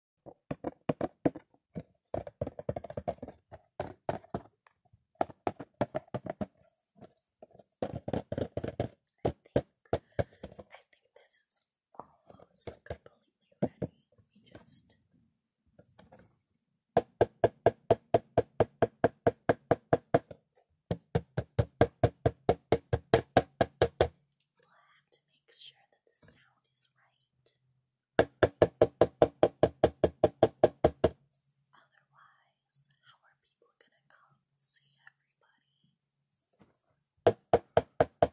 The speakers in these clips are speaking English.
I think this is almost completely ready. Let me just We'll have to make sure that the sound is right. Otherwise, how are people gonna come see everybody? Okay. Oh, I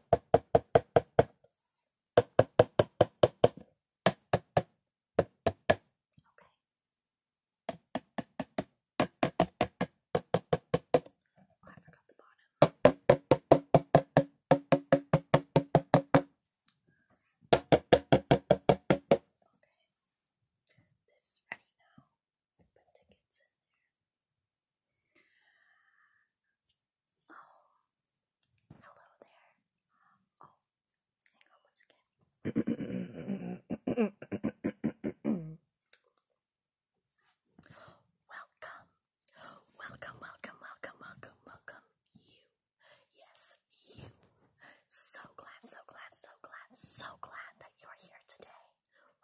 forgot the bottom. This is ready now. Put tickets in there. Oh, hello there. Oh, hang on once again. Welcome, welcome, welcome, welcome, welcome, welcome, you. Yes, you. So glad, so glad, so glad, so glad that you're here today.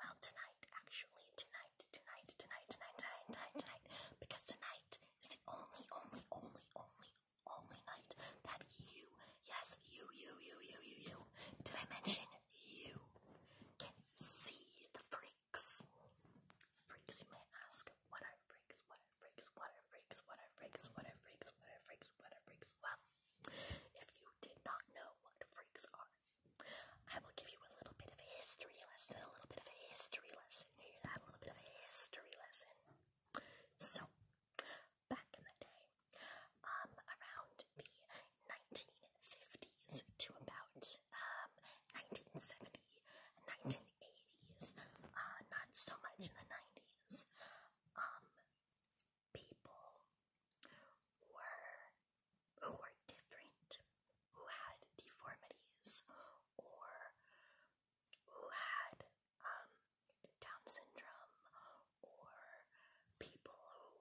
Well, tonight, actually, tonight, tonight, tonight, tonight, tonight, tonight, tonight, because tonight is the only, only, only, only, only night that you, yes, you, you, you, you, you, you, did I mention you, can see the free freaks. you may ask, what are freaks? What are freaks? What are freaks? What are freaks? What are freaks? What are freaks? What are freaks? Well, if you did not know what freaks are, I will give you a little bit of a history lesson. A little bit of a history lesson. You hear that? A little bit of a history lesson. So, back in the day, um, around the 1950s to about 1970s, 1970, 1980s, not so much in the 90s, um, people were who were different, who had deformities, or who had um, Down syndrome, or people who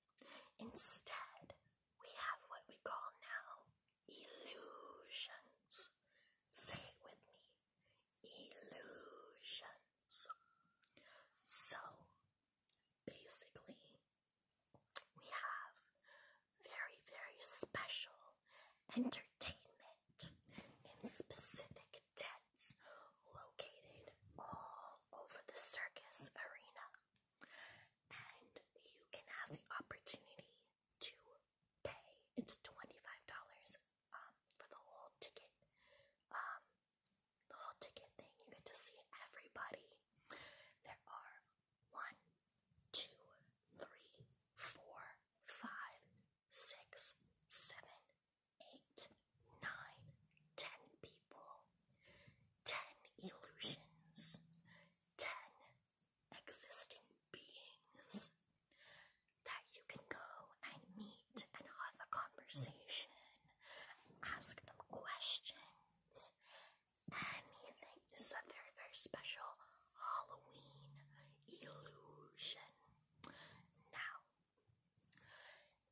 Instead, we have what we call now illusions. Say it with me illusions. So, basically, we have very, very special entertainment in specific tents located all over the circus arena and you can have the opportunity to pay. It's $25 um, for the whole ticket. Um, the whole ticket thing, you get to see everybody. There are one, two, three, four, five, six, seven, eight, nine, ten people ten illusions, ten existing beings that you can go and meet and have a conversation, ask them questions, anything. This is a very, very special Halloween illusion. Now,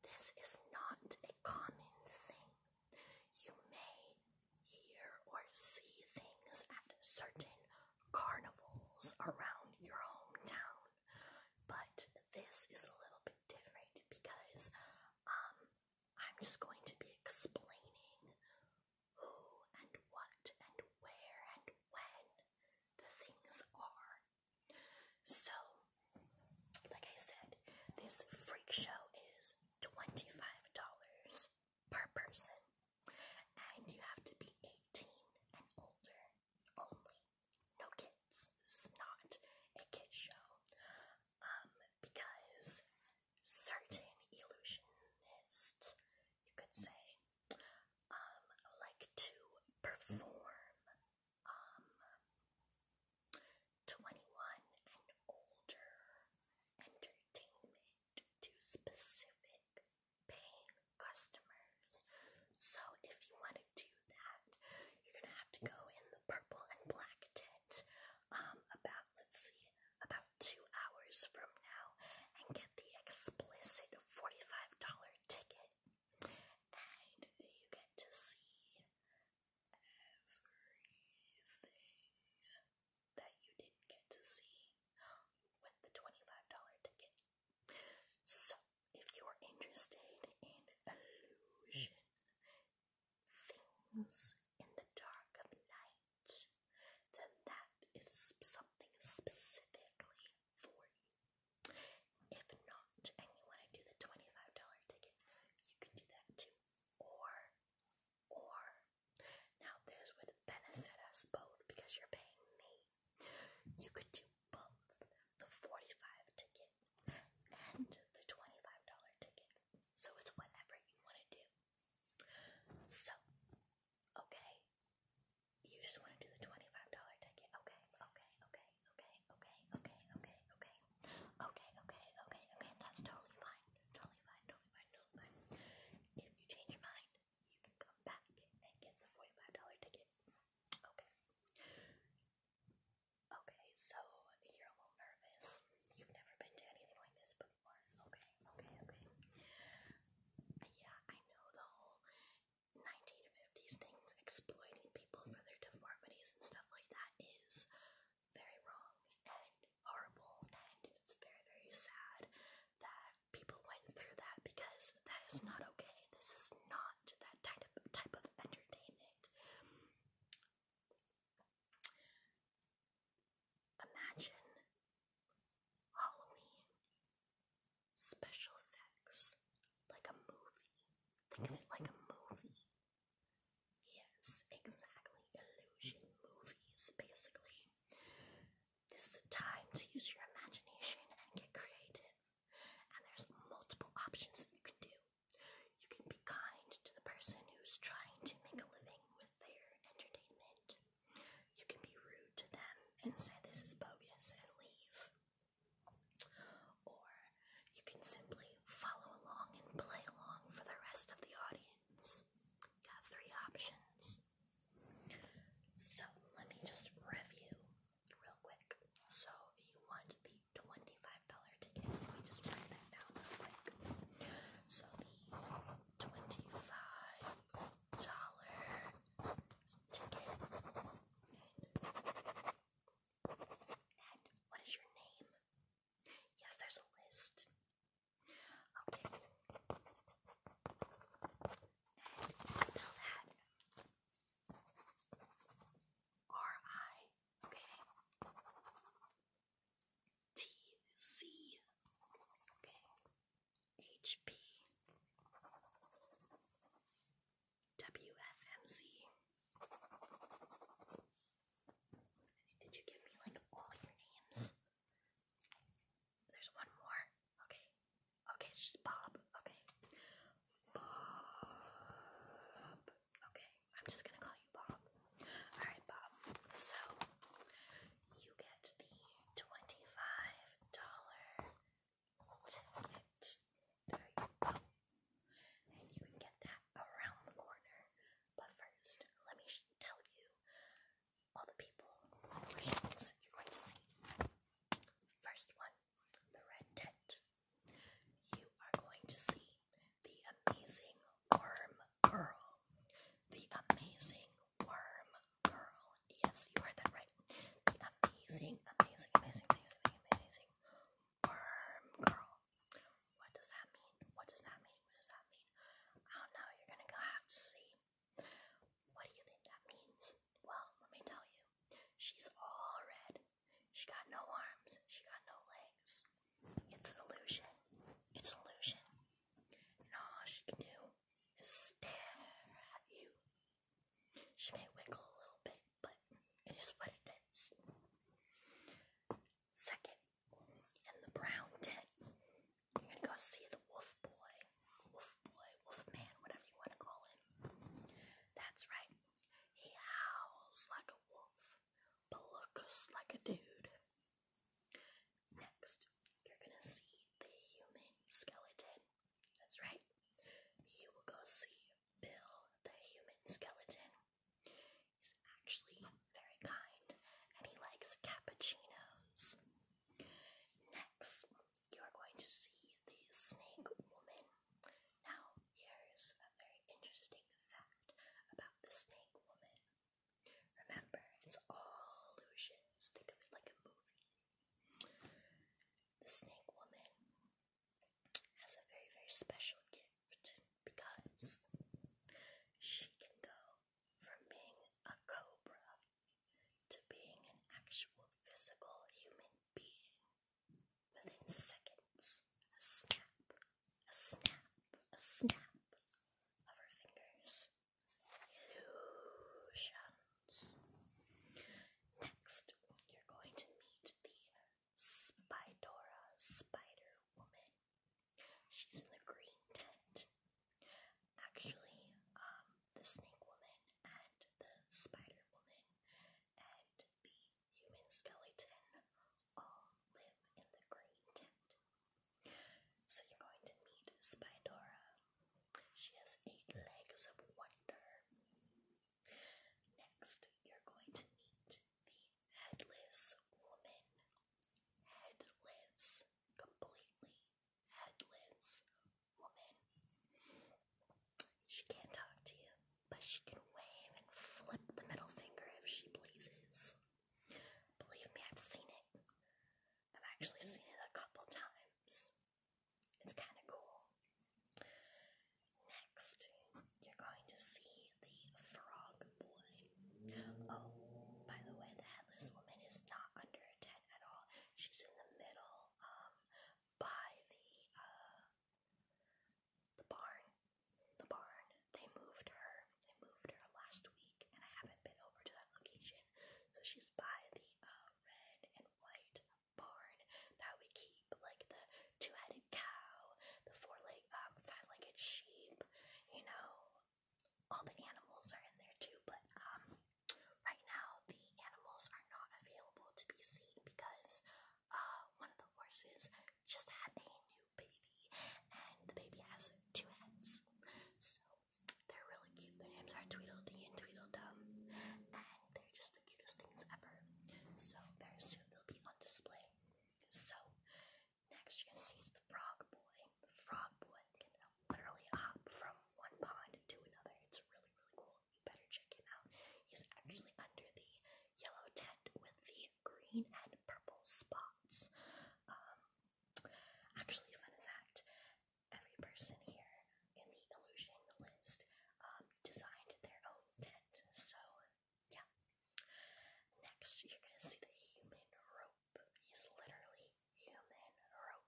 this is not a common thing you may hear or see things at certain carnivals around your hometown, but this is a little bit different because um, I'm just going to be explaining who and what and where and when the things are. So, like I said, this freak show is $25 per person, and you have to be 18 and older only. No kids. This is not a kid show. Um, because certain illusionists, you could say, um, like to perform um, 21 and older entertainment to specific paying customers. So if you want to do that, you're going to have to go in the purple and black tent um, about, let's see, about two hours from now and get the explicit $45 ticket. And you get to see everything that you didn't get to see with the $25 ticket. So, if you're interested in illusion, things in the dark of night, then that is something specifically for you. If not, and you want to do the $25 ticket, you can do that too. Or, or, now this would benefit us both because you're paying me. You could do both the 45 ticket and the $25 ticket. So it's whatever you want to do. So, okay. You just want to do the $25 ticket. Okay, okay, okay okay, okay, okay, okay, okay, okay, okay, okay, okay, that's totally fine, totally fine, totally fine, totally fine. If you change your mind, you can come back and get the forty-five dollar ticket. Okay. Okay, so you're a little nervous. You've never been to anything like this before. Okay, okay, okay. Yeah, I know the whole 19 these things, exploiting people for their deformities and stuff like that, is very wrong and horrible, and it's very, very sad that people went through that because that is not okay. This is not that type of, type of entertainment. Imagine Halloween special effects like a movie. Think of it like a movie. Yes, exactly. Illusion movies, basically. This is a time to use your imagination and get creative. And there's multiple options that you can do. You can be kind to the person who's trying to make a living with their entertainment. You can be rude to them and say this is bogus and leave. Or you can simply follow along and play along for the rest of the audience. Got three options. So let me just review real quick. So you want the $25 ticket. Let me just write that down real quick. So the $25 ticket. And what is your name? Yes, there's a list. Okay. And spell that. R I okay. H P WFMZ. Did you give me like all your names? There's one more. Okay. Okay, it's just Bob. Okay. Bob. Okay, I'm just gonna call you Bob. Alright, Bob. So, you get the $25 ticket. And you can get that around the corner. But first, let me tell you all the people you're going to see. First one, the red tent. You are going to see the amazing worm girl. The amazing worm girl. Yes, you heard that right. The amazing, amazing, amazing, amazing, amazing worm girl. What does that mean? What does that mean? What does that mean? I oh, don't know. You're gonna go have to see. What do you think that means? Well, let me tell you. She's all red. She got no arms. She got no legs. It's an illusion. It's an illusion. And all she can do is stare at you she may wiggle a little bit, but it is what it is. Second, in the brown tent, you're gonna go see the wolf boy, wolf boy, wolf man, whatever you want to call him. That's right, he howls like a wolf, but looks like a dude. Next, you're gonna see the human skeleton that's right. You will go see Bill the human skeleton. He's actually very kind and he likes cappuccinos. Next, you're going to see the snake woman. Now, here's a very interesting fact about the snake woman. Remember, it's all illusions. Think of it like a movie the snake woman has a very, very special gift because she can go from being a cobra to being an actual physical human being within seconds. A snap, a snap, a snap of her fingers illusions. Next, you're going to meet the Spidora Spider Woman. She's in the green tent. Actually, um, the Snake Woman and the Spider Woman and the human skeleton all live in the green tent. So you're going to meet Spidora, she has eight legs of wonder. Next, you're going to meet the headless woman. Headless, completely headless woman. She can't talk to you, but she can wave and flip the middle finger if she pleases. Believe me, I've seen it. I've actually seen it a couple times. It's kind of cool. Next, you're going to see the frog boy. Oh, by the way, the headless woman is not under a tent at all. She's in the middle, um, by the uh, the barn. The barn. They moved her. They moved her last week and I haven't been over to that location. So she's by the uh, red and white barn that we keep, like the two-headed cow, the four-leg, um, five-legged sheep. You know, all the animals are in there too, but um, right now the animals are not available to be seen because uh, one of the horses just had a new baby, and the baby has two heads. So they're really cute. Their names are Tweedledee and Tweedledum, and they're just the cutest things ever. So very soon they'll be on display. So next you can see is the frog boy. frog boy can literally hop from one pond to another. It's really really cool. You better check him out. He's actually under the yellow tent with the green and purple spots. Um, actually, fun fact: every person here in the illusion list um, designed their own tent. So, yeah. Next, you're gonna see the human rope. He's literally human rope.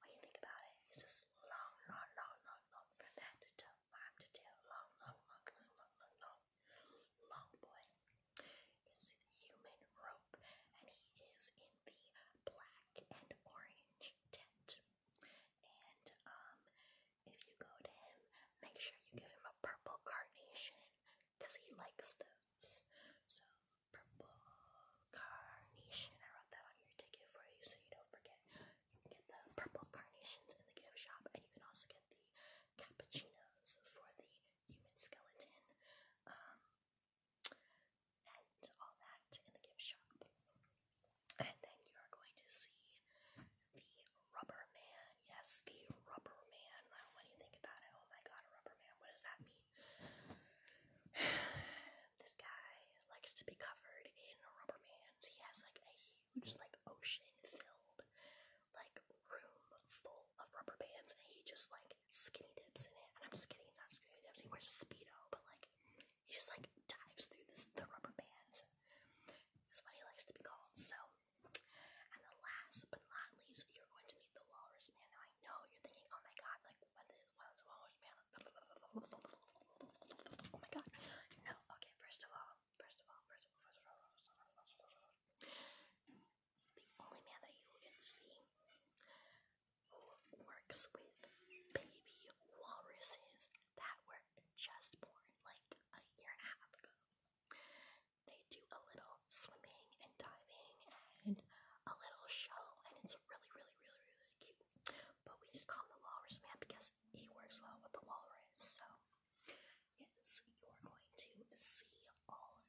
When you think about it, he's just long, long, long, long, from head to toe, arm to tail, long, long, long, long, long, long, long boy is human rope, and he is in the black and orange tent. And um, if you go to him, make sure you give him a purple carnation, cause he likes those. So purple carnation. I wrote that on your ticket for you, so you don't forget. You can get the purple carnations in the gift shop, and you can also get the cappuccinos for the human skeleton. Um, and all that in the gift shop. And then you're going to see the Rubber Man. Yes, the Rubber Man. when you think about it, oh my god, a Rubber Man, what does that mean? this guy likes to be covered in rubber bands. He has like a huge, like, ocean filled, like, room full of rubber bands, and he just like like skinny dips in it, and I'm just kidding, not skinny dips. He wears a speedo, but like he just like dives through the rubber bands. Is what he likes to be called. So, and the last but not least, you're going to need the walrus man. I know you're thinking, oh my god, like what is the walrus man? Oh my god, no. Okay, first of all, first of all, first of all, first of all the only man that you wouldn't see who works with baby walruses that were just born like a year and a half ago. They do a little swimming and diving and a little show, and it's really, really, really, really cute. But we just call him the walrus man because he works well with the walrus, so yes, you are going to see all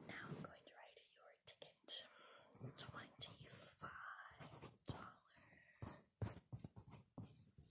Now I'm going to write your ticket. Twenty-five dollars. And purple.